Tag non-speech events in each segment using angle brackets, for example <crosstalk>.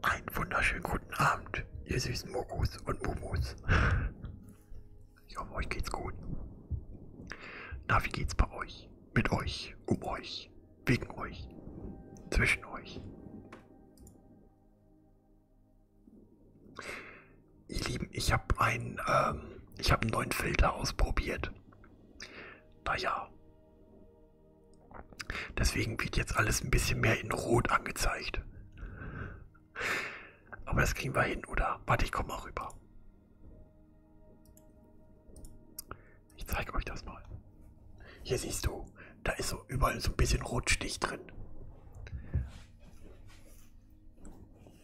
Einen wunderschönen guten Abend, ihr süßen Mokus und Mumus. Ich hoffe, euch geht's gut. Na, wie geht's bei euch? Mit euch, um euch, wegen euch, zwischen euch. Ihr Lieben, ich habe einen, ähm, ich habe einen neuen Filter ausprobiert. Naja. Deswegen wird jetzt alles ein bisschen mehr in Rot angezeigt. Aber das kriegen wir hin, oder? Warte, ich komme mal rüber. Ich zeige euch das mal. Hier siehst du, da ist so überall so ein bisschen Rotstich drin.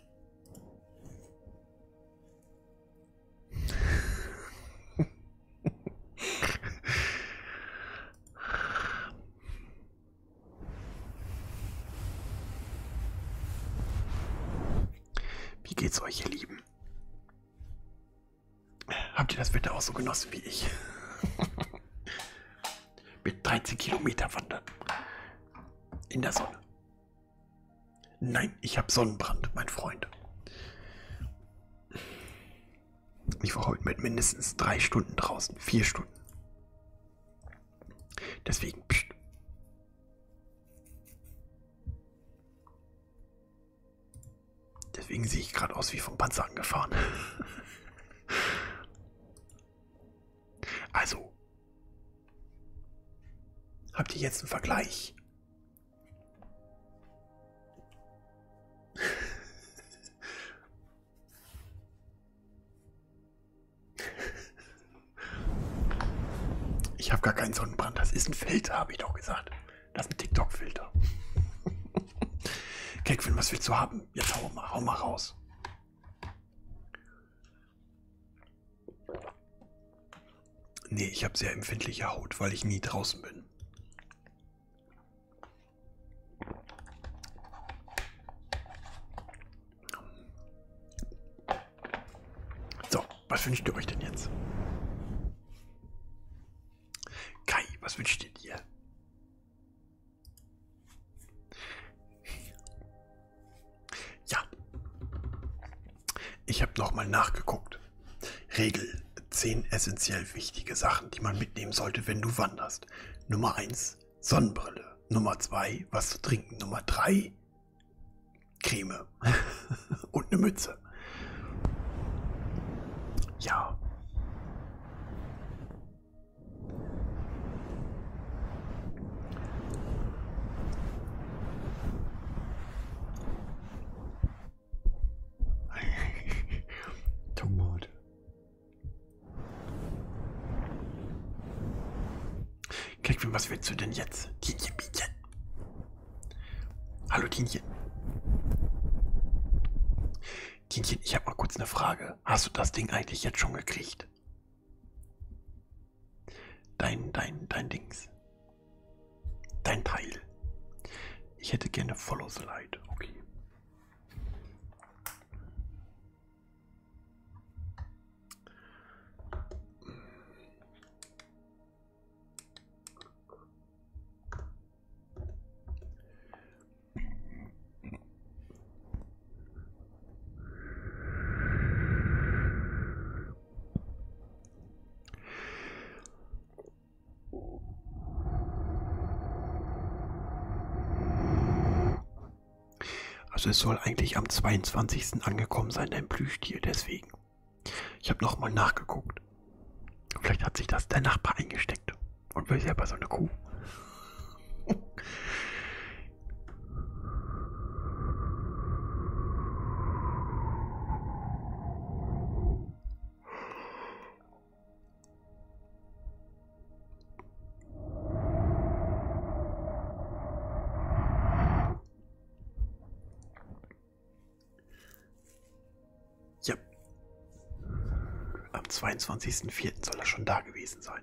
<laughs> Wie geht's euch, ihr Lieben? Habt ihr das Wetter auch so genossen wie ich? <laughs> mit 13 Kilometer wandern. In der Sonne. Nein, ich habe Sonnenbrand, mein Freund. Ich war heute mit mindestens drei Stunden draußen, vier Stunden. Deswegen. Pst. Deswegen sehe ich gerade aus wie vom Panzer angefahren. <laughs> also, Habt ihr jetzt einen Vergleich? Ich habe gar keinen Sonnenbrand. Das ist ein Filter, habe ich doch gesagt. Das ist ein TikTok-Filter. <laughs> Kekvin, was willst du haben? Jetzt hau mal, hau mal raus. Nee, ich habe sehr empfindliche Haut, weil ich nie draußen bin. So, was wünscht ihr euch denn jetzt? Kai, was wünscht ihr dir? Ja. Ich habe nochmal nachgeguckt. Regel 10 essentiell wichtige Sachen, die man mitnehmen sollte, wenn du wanderst. Nummer 1 Sonnenbrille. Nummer 2 was zu trinken. Nummer 3 Creme <laughs> und eine Mütze. Ja. Tomate. <laughs> Kekvin, was willst du denn jetzt? Dienchen, Bienchen. Hallo, Dienchen. Dienchen, ich habe mal kurz eine Frage. Hast du das Ding eigentlich jetzt schon gekriegt? Dein, dein, dein Dings. Dein Teil. Ich hätte gerne Follow the Light. Okay. Also es soll eigentlich am 22. angekommen sein, dein Plüschtier, deswegen. Ich habe nochmal nachgeguckt. Vielleicht hat sich das der Nachbar eingesteckt und will selber so eine Kuh. Ja. Am 22.04. soll er schon da gewesen sein.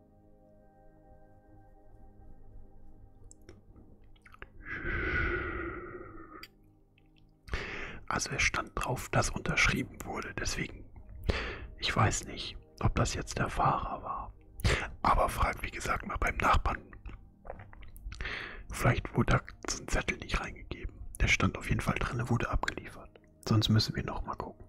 Also es stand drauf, dass unterschrieben wurde. Deswegen, ich weiß nicht, ob das jetzt der Fahrer war. Aber frag, wie gesagt, mal beim Nachbarn. Vielleicht wurde da so ein Zettel nicht reingegeben. Der stand auf jeden Fall drin, wurde abgeliefert. Sonst müssen wir nochmal gucken.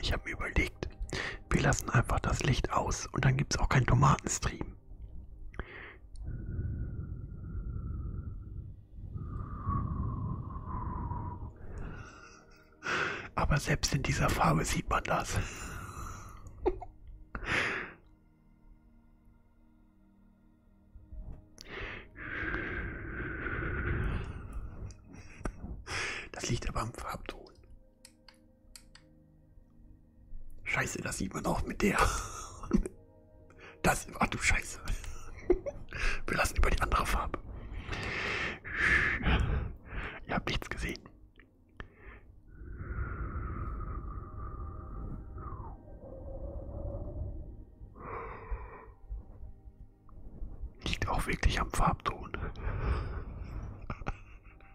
Ich habe mir überlegt, wir lassen einfach das Licht aus und dann gibt es auch keinen Tomatenstream. Aber selbst in dieser Farbe sieht man das. Das liegt aber am Farbton. Scheiße, das sieht man auch mit der. <laughs> Das, ach du Scheiße. <laughs> Wir lassen über die andere Farbe. Ihr habt nichts gesehen. Liegt auch wirklich am Farbton. <laughs>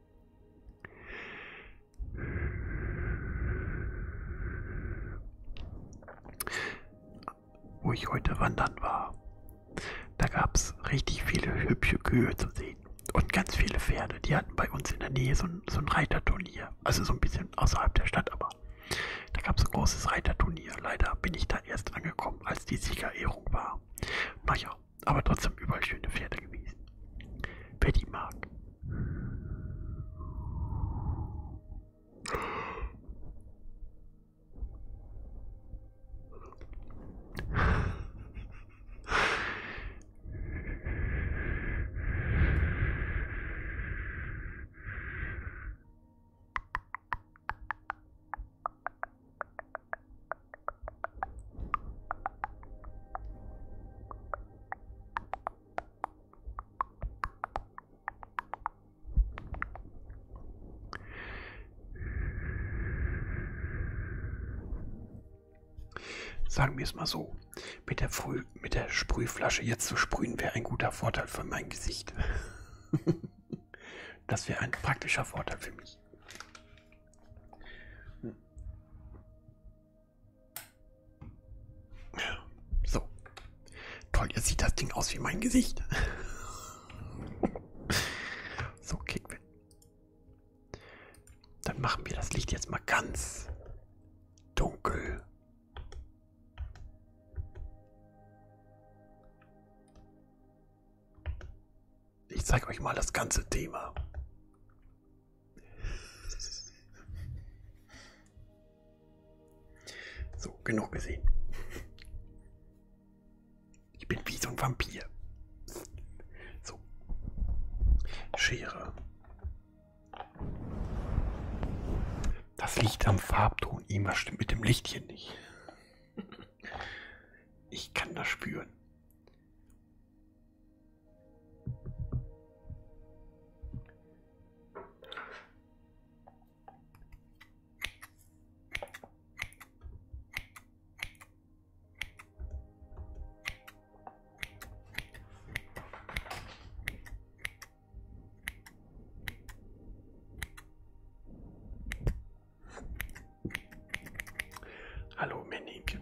Wo ich heute wandern war, da gab es richtig viele hübsche Kühe zu sehen und ganz viele Pferde. Die hatten bei uns in der Nähe so ein, so ein Reiterturnier, also so ein bisschen außerhalb der Stadt, aber da gab es ein großes Reiterturnier. Leider bin ich da erst angekommen, als die Siegerehrung war. Naja, aber trotzdem überall schöne Pferde gewesen. Wer die mag. Sagen wir es mal so, mit der, Früh, mit der Sprühflasche jetzt zu sprühen wäre ein guter Vorteil für mein Gesicht. <laughs> das wäre ein praktischer Vorteil für mich. So. Toll, jetzt sieht das Ding aus wie mein Gesicht. <laughs> so, Kickwind. Dann machen wir das Licht jetzt mal ganz dunkel. Ich zeige euch mal das ganze Thema. So, genug gesehen. Ich bin wie so ein Vampir. So. Schere. Das liegt am Farbton. Irgendwas stimmt mit dem Licht hier nicht. Ich kann das spüren. Hallo Männchen.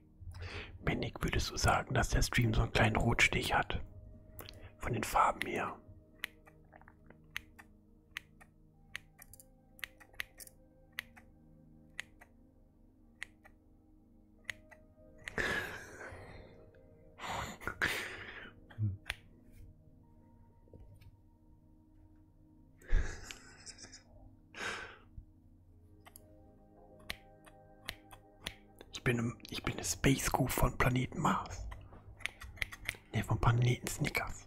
Männig würdest du sagen, dass der Stream so einen kleinen Rotstich hat. Von den Farben her. Ich bin, im, ich bin eine Space Kuh von Planeten Mars. Ne, vom Planeten Snickers.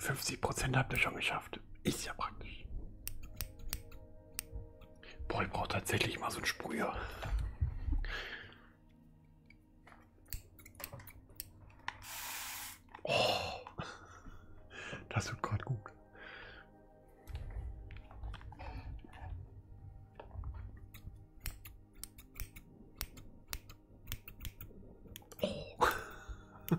50 Prozent habt ihr schon geschafft geschafft. Ist ja praktisch. Boah, ich brauche tatsächlich mal so einen Sprüher. Oh, das wird gerade gut. Oh. <laughs>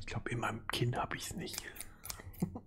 Ich glaube, in meinem Kind habe ich es nicht. <laughs>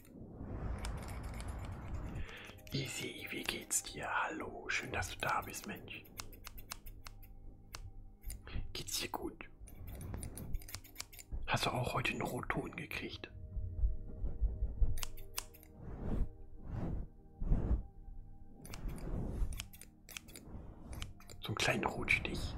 Easy, wie geht's dir? Hallo, schön, dass du da bist, Mensch. Geht's dir gut? Hast du auch heute einen Rotton gekriegt? So einen kleinen Rotstich.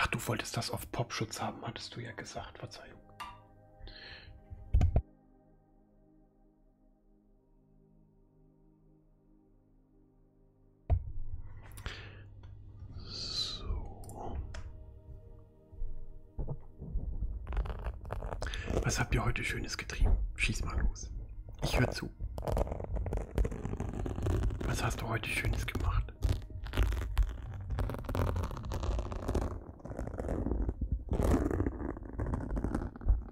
Ach, du wolltest das auf Popschutz haben, hattest du ja gesagt. Verzeihung. So. Was habt ihr heute Schönes getrieben? Schieß mal los. Ich höre zu. Was hast du heute Schönes gemacht?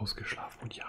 Ausgeschlafen und Jahrmarkt.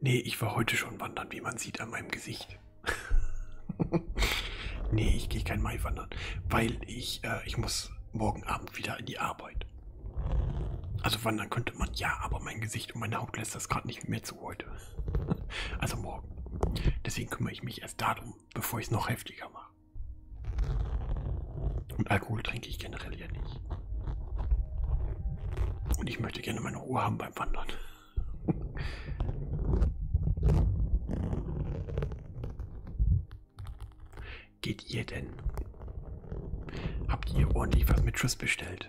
Nee, ich war heute schon wandern, wie man sieht an meinem Gesicht. <laughs> nee, ich gehe kein Mai wandern, weil ich, äh, ich muss morgen Abend wieder in die Arbeit. Also wandern könnte man ja, aber mein Gesicht und meine Haut lässt das gerade nicht mehr zu heute. <laughs> Also morgen. Deswegen kümmere ich mich erst darum, bevor ich es noch heftiger mache. Und Alkohol trinke ich generell ja nicht. Und ich möchte gerne meine Ruhe haben beim Wandern. <laughs> Geht ihr denn? Habt ihr ordentlich was mit Triss bestellt?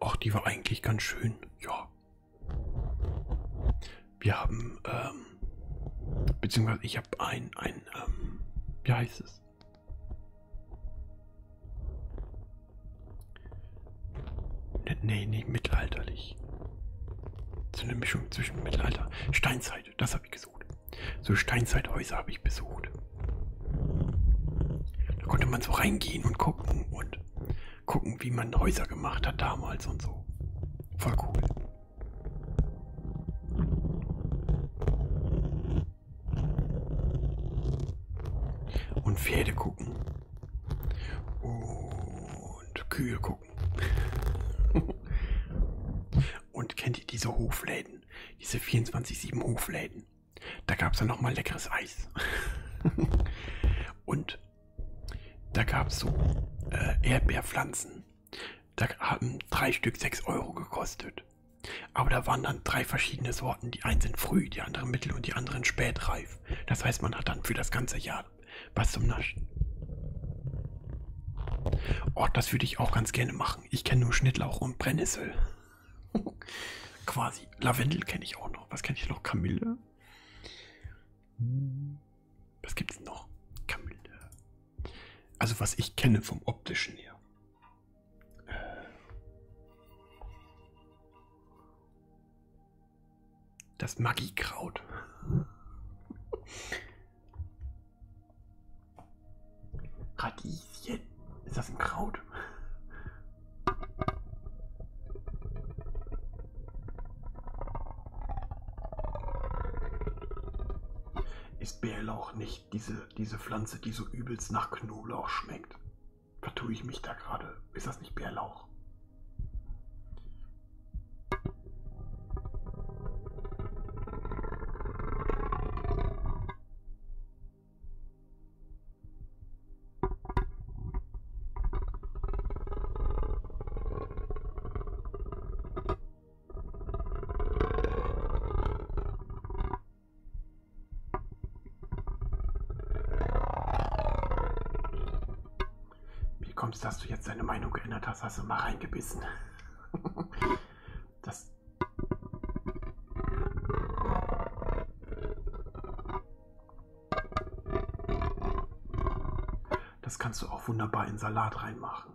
Ach, die war eigentlich ganz schön. Ja. Wir haben, ähm, beziehungsweise ich habe ein, ein, ähm, wie heißt es? Ne, nee, nee, mittelalterlich. So eine Mischung zwischen Mittelalter. Steinzeit, das habe ich gesucht. So Steinzeithäuser habe ich besucht. Da konnte man so reingehen und gucken und gucken, wie man Häuser gemacht hat damals und so. Voll cool. Und Pferde gucken. Und Kühe gucken. <laughs> und kennt ihr diese Hofläden? Diese 24-7 Hofläden? Da gab es dann nochmal leckeres Eis. <laughs> Und da gab es so äh, Erdbeerpflanzen. Da haben drei Stück 6 Euro gekostet. Aber da waren dann drei verschiedene Sorten. Die einen sind früh, die anderen mittel und die anderen spätreif. Das heißt, man hat dann für das ganze Jahr was zum Naschen. Oh, das würde ich auch ganz gerne machen. Ich kenne nur Schnittlauch und Brennnessel. <laughs> Quasi. Lavendel kenne ich auch noch. Was kenne ich noch? Kamille. Hm. Was gibt es noch? Kamille. Also was ich kenne vom optischen her. Äh. Das Magikraut. <laughs> Radie. Radieschen. Ist das ein Kraut? Ist Bärlauch nicht diese, diese Pflanze, die so übelst nach Knoblauch schmeckt? Vertue ich mich da gerade? Ist das nicht Bärlauch? Wie kommst, dass du jetzt deine Meinung geändert hast, hast du mal reingebissen. <laughs> Das das kannst du auch wunderbar in Salat reinmachen.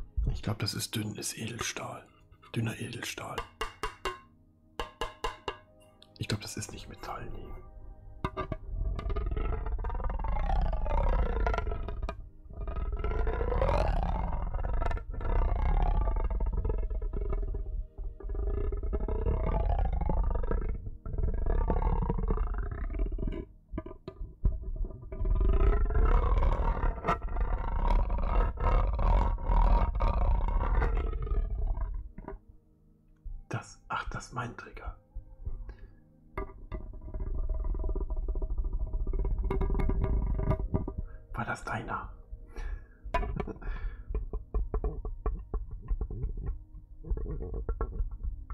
Ich glaube, das ist dünnes Edelstahl. Dünner Edelstahl. Ich glaube, das ist nicht Metall, nee. Das, ach, das ist mein Trigger. War das deiner?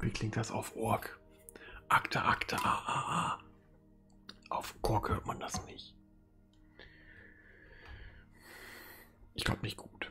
Wie klingt das auf Org? Akte, Akte, ah, ah, ah. Auf Kork hört man das nicht. Ich glaube nicht gut.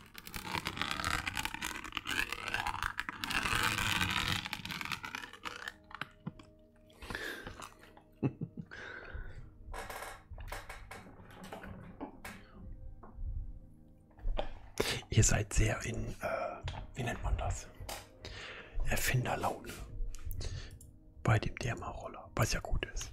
<laughs> Ihr seid sehr in, äh, wie nennt man das? Erfinderlaune bei dem Dermaroller, was ja gut ist.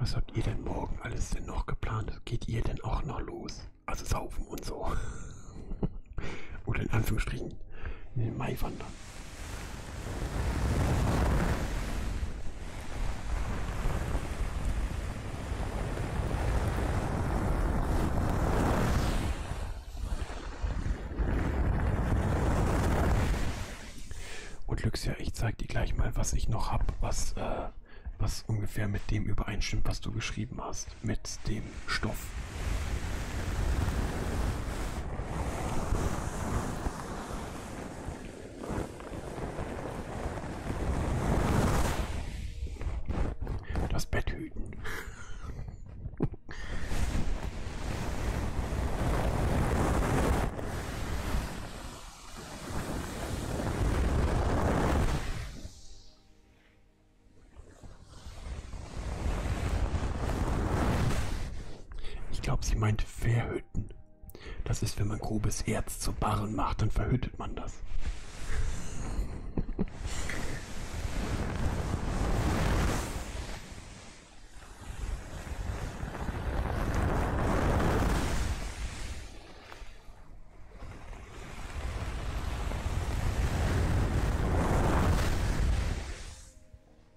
Was habt ihr denn morgen alles denn noch geplant? Geht ihr denn auch noch los? Also saufen und so. <laughs> Oder in Anführungsstrichen in den Mai wandern. Und Luxia, ich zeig dir gleich mal, was ich noch hab, was, äh, was ungefähr mit dem übereinstimmt, was du geschrieben hast, mit dem Stoff. Das Bett hüten. Ich glaube, sie meint Verhütten. Das ist, wenn man grobes Erz zu Barren macht, dann verhüttet man das.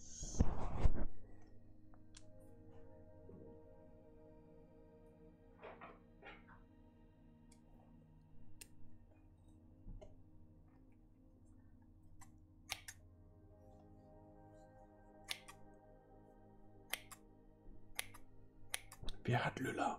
So. Wer hat Lüller?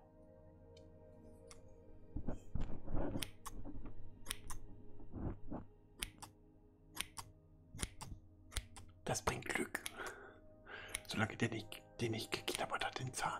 Das bringt Glück. Solange der nicht, den nicht geknabbert hat, den Zahn.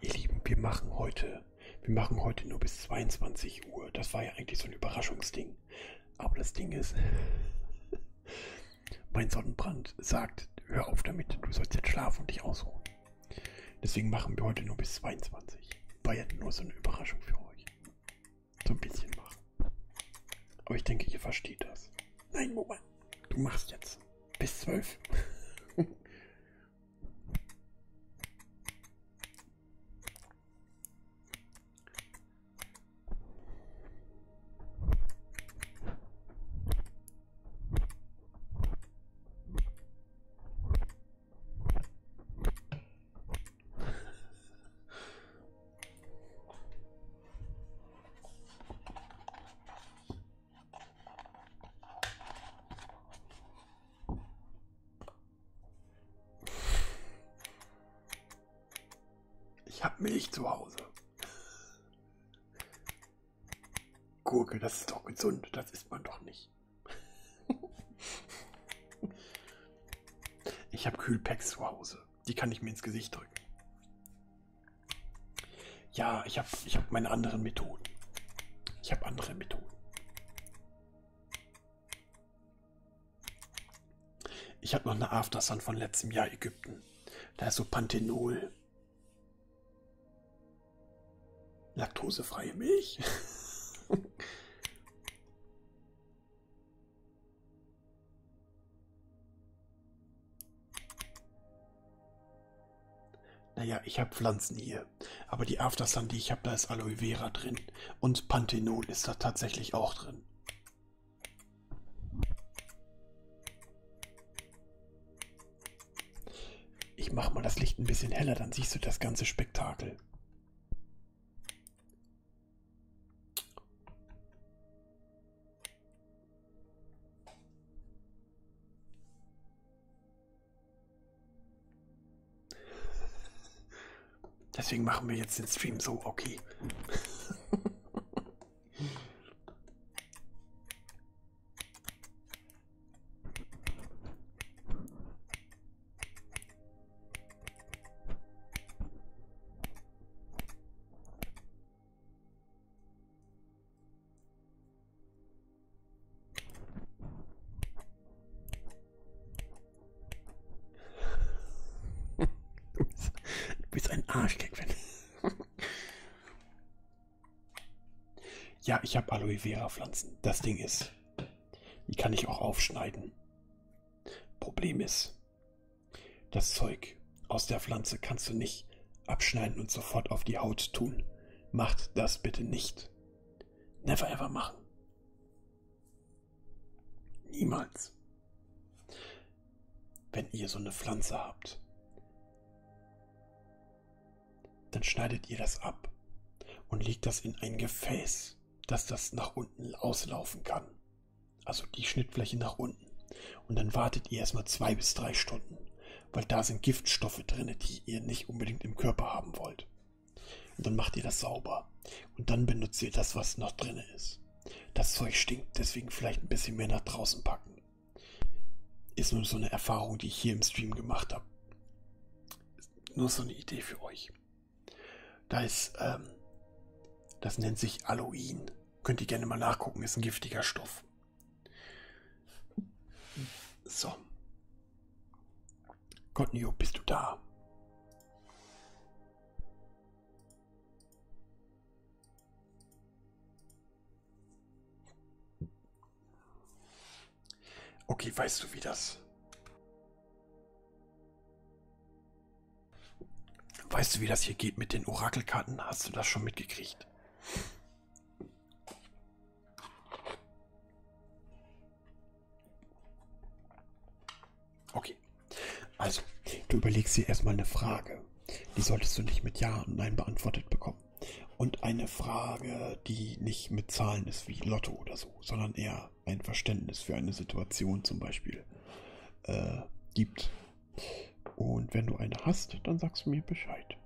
Ihr Lieben, wir machen heute, wir machen heute nur bis 22 Uhr. Das war ja eigentlich so ein Überraschungsding. Aber das Ding ist, <laughs> mein Sonnenbrand sagt, hör auf damit, du sollst jetzt schlafen und dich ausruhen. Deswegen machen wir heute nur bis 22. War ja nur so eine Überraschung für euch. So ein bisschen machen. Aber ich denke, ihr versteht das. Nein, Moment. Du machst jetzt bis 12. <laughs> Ich habe Milch zu Hause. Gurke, das ist doch gesund, das isst man doch nicht. Ich habe Kühlpacks zu Hause. Die kann ich mir ins Gesicht drücken. Ja, ich habe ich hab meine anderen Methoden. Ich habe andere Methoden. Ich habe noch eine Aftersun von letztem Jahr Ägypten. Da ist so Panthenol. Laktosefreie Milch. <laughs> Naja, ich habe Pflanzen hier. Aber die Aftersun, die ich habe, da ist Aloe Vera drin. Und Panthenol ist da tatsächlich auch drin. Ich mache mal das Licht ein bisschen heller, dann siehst du das ganze Spektakel. Deswegen machen wir jetzt den Stream so, okay. <laughs> Du bist ein Arschkick, Ja, ich habe Aloe Vera Pflanzen. Das Ding ist die kann ich auch aufschneiden. Problem ist, das Zeug aus der Pflanze kannst du nicht abschneiden und sofort auf die Haut tun. Macht das bitte nicht. Never ever machen. Niemals. Wenn ihr so eine Pflanze habt, dann schneidet ihr das ab und legt das in ein Gefäß, dass das nach unten auslaufen kann. Also die Schnittfläche nach unten. Und dann wartet ihr erstmal zwei bis drei Stunden, weil da sind Giftstoffe drin, die ihr nicht unbedingt im Körper haben wollt. Und dann macht ihr das sauber. Und dann benutzt ihr das, was noch drin ist. Das Zeug stinkt, deswegen vielleicht ein bisschen mehr nach draußen packen. Ist nur so eine Erfahrung, die ich hier im Stream gemacht habe nur so eine Idee für euch. Da ist, ähm, das nennt sich Aloin. Könnt ihr gerne mal nachgucken, ist ein giftiger Stoff. So. Cotnio, bist du da? Okay, weißt du, wie das... Weißt du, wie das hier geht mit den Orakelkarten? Hast du das schon mitgekriegt? Okay. Also, du überlegst dir erstmal eine Frage. Die solltest du nicht mit Ja und Nein beantwortet bekommen. Ja. Und eine Frage, die nicht mit Zahlen ist wie Lotto oder so, sondern eher ein Verständnis für eine Situation zum Beispiel äh, gibt. Und wenn du eine hast, dann sagst du mir Bescheid.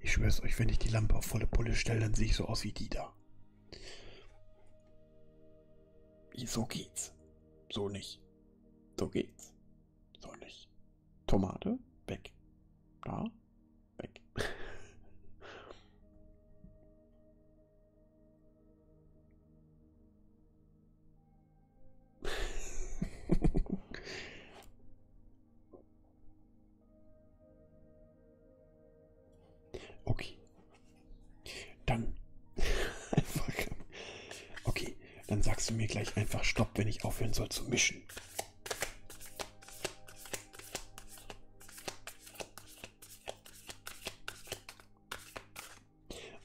Ich schwör's euch, wenn ich die Lampe auf volle Pulle stelle, dann sehe ich so aus wie die da. So geht's. So nicht. So geht's. So nicht. Tomate, weg. Da, weg. <laughs> okay. Dann <laughs> einfach. Okay dann sagst du mir gleich einfach Stopp, wenn ich aufhören soll zu mischen.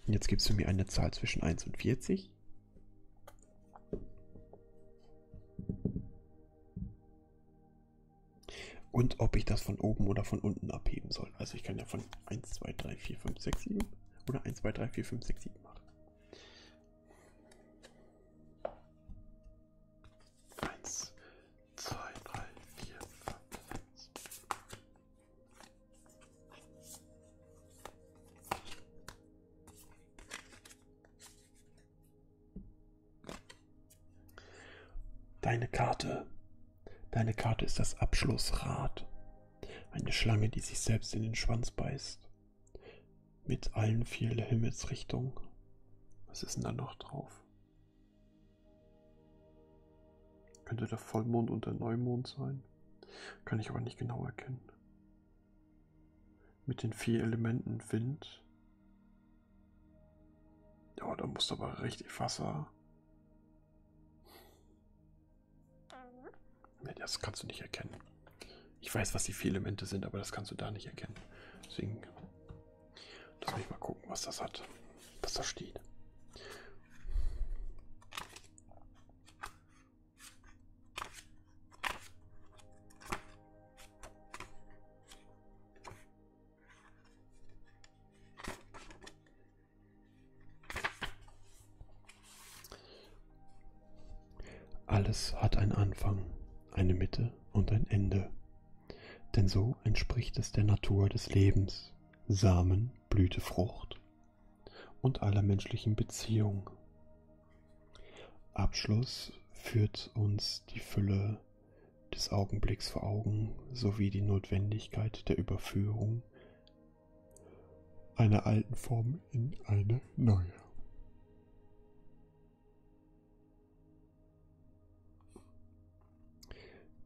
Und jetzt gibst du mir eine Zahl zwischen 1 und 40. Und ob ich das von oben oder von unten abheben soll. Also ich kann ja von 1, 2, 3, 4, 5, 6, 7 oder 1, 2, 3, 4, 5, 6, 7 machen. Eins, zwei, drei, vier, fünf, sechs. Deine Karte. Deine Karte ist das Abschlussrad. Eine Schlange, die sich selbst in den Schwanz beißt. Mit allen vier Himmelsrichtungen. Was ist denn da noch drauf? Könnte der Vollmond und der Neumond sein? Kann ich aber nicht genau erkennen. Mit den vier Elementen Wind. Ja, da muss aber richtig Wasser. Ja, das kannst du nicht erkennen. Ich weiß, was die vier Elemente sind, aber das kannst du da nicht erkennen. Deswegen lass mich mal gucken, was das hat, was da steht. Alles hat einen Anfang, eine Mitte und ein Ende. Denn so entspricht es der Natur des Lebens, Samen, Blüte, Frucht und aller menschlichen Beziehung. Abschluss führt uns die Fülle des Augenblicks vor Augen sowie die Notwendigkeit der Überführung einer alten Form in eine neue.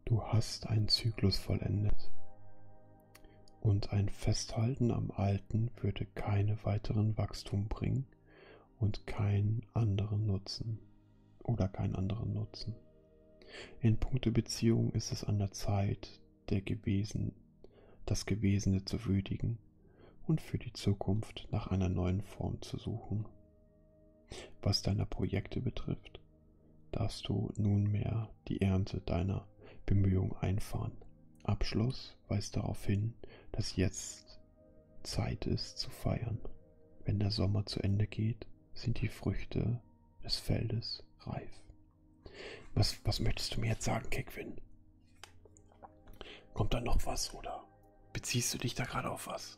Du hast einen Zyklus vollendet und ein Festhalten am Alten würde keine weiteren Wachstum bringen und keinen anderen Nutzen oder keinen anderen Nutzen. In puncto Beziehung ist es an der Zeit, der gewesen, das Gewesene zu würdigen und für die Zukunft nach einer neuen Form zu suchen. Was deine Projekte betrifft, darfst du nunmehr die Ernte deiner Bemühungen einfahren. Abschluss weist darauf hin, dass jetzt Zeit ist zu feiern. Wenn der Sommer zu Ende geht, sind die Früchte des Feldes reif. Was, was möchtest du mir jetzt sagen, Kickwin? Kommt da noch was oder beziehst du dich da gerade auf was?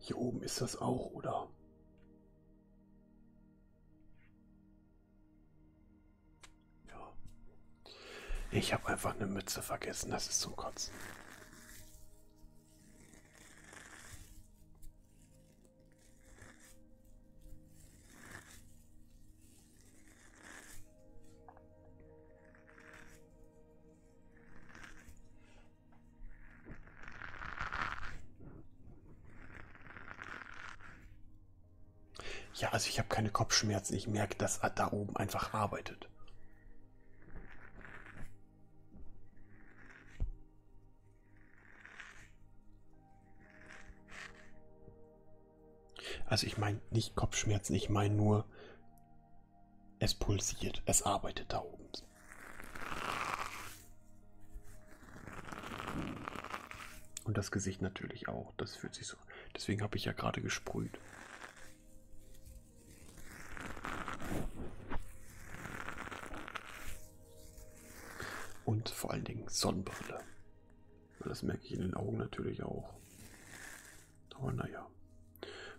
Hier oben ist das auch, oder? Ja. Ich habe einfach eine Mütze vergessen. Das ist zum Kotzen. Ja, also ich habe keine Kopfschmerzen. Ich merke, dass da oben einfach arbeitet. Also ich meine nicht Kopfschmerzen, ich meine nur, es pulsiert, es arbeitet da oben. Und das Gesicht natürlich auch, das fühlt sich so. Deswegen habe ich ja gerade gesprüht. Und vor allen Dingen Sonnenbrille. Das merke ich in den Augen natürlich auch. Aber naja.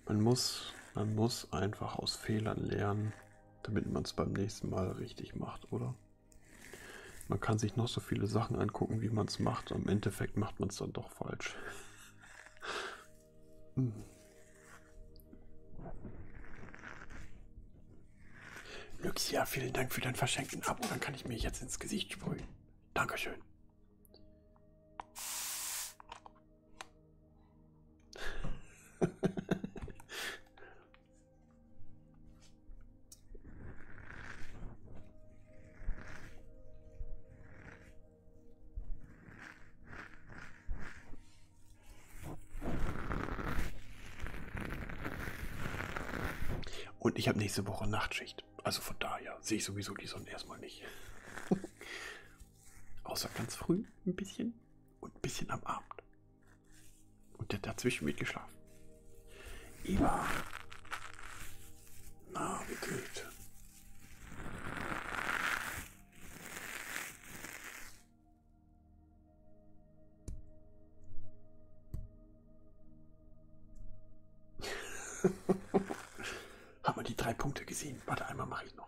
Man muss, man muss einfach aus Fehlern lernen, damit man es beim nächsten Mal richtig macht, oder? Man kann sich noch so viele Sachen angucken, wie man es macht. Im Endeffekt macht man es dann doch falsch. <laughs> hm. Luxia, vielen Dank für dein verschenkten Abo. Dann kann ich mir jetzt ins Gesicht sprühen. Dankeschön. Und ich habe nächste Woche Nachtschicht. Also von daher sehe ich sowieso die Sonne erstmal nicht. <laughs> Außer ganz früh ein bisschen und ein bisschen am Abend. Und dazwischen wird geschlafen. Eva. Na, wie geht's? <laughs> Haben wir die drei Punkte gesehen? Warte, einmal mache ich noch.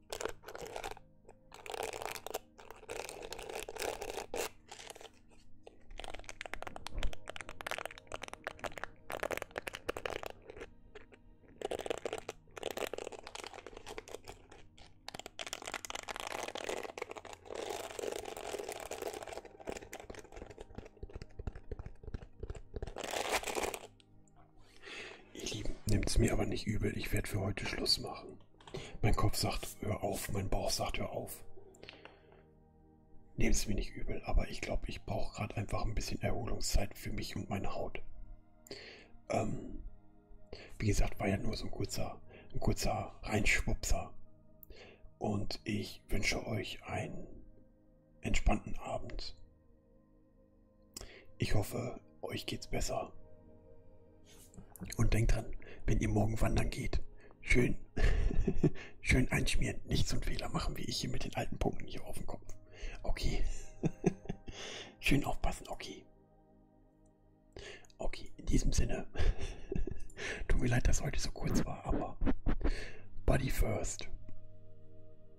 Ihr Lieben, nehmt es mir aber nicht übel, ich werde für heute Schluss machen. Mein Kopf sagt, hör auf, mein Bauch sagt, hör auf. Nehmt es mir nicht übel, aber ich glaube, ich brauche gerade einfach ein bisschen Erholungszeit für mich und meine Haut. Ähm, wie gesagt, war ja nur so ein kurzer, ein kurzer Reinschwupser. Und ich wünsche euch einen entspannten Abend. Ich hoffe, euch geht's besser. Und denkt dran, wenn ihr morgen wandern geht, schön, <laughs> schön einschmieren, nicht so einen Fehler machen wie ich hier mit den alten Punkten hier auf dem Kopf. Okay. <laughs> schön aufpassen, okay. Okay, in diesem Sinne. <laughs> Tut mir leid, dass heute so kurz war, aber Body first.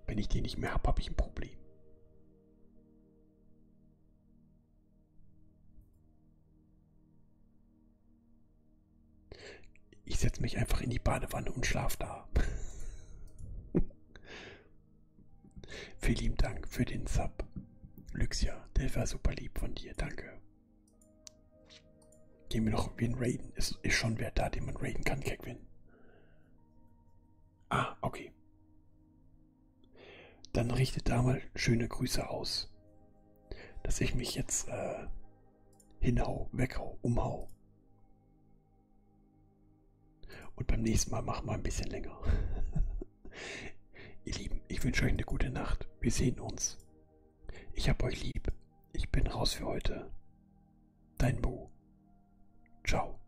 Wenn ich den nicht mehr habe, habe ich ein Problem. Ich setze mich einfach in die Badewanne und schlafe da. <laughs> Vielen Dank für den Sub. Luxia, der war super lieb von dir, danke. Gehen wir noch wen raiden. Ist, ist schon wer da, den man raiden kann, Kegwin. Ah, okay. Dann richtet da mal schöne Grüße aus. Dass ich mich jetzt äh, hinhau, weghau, umhau. Und beim nächsten Mal machen wir ein bisschen länger. <laughs> Ihr Lieben, ich wünsche euch eine gute Nacht. Wir sehen uns. Ich hab euch lieb. Ich bin raus für heute. Dein Mo. Ciao.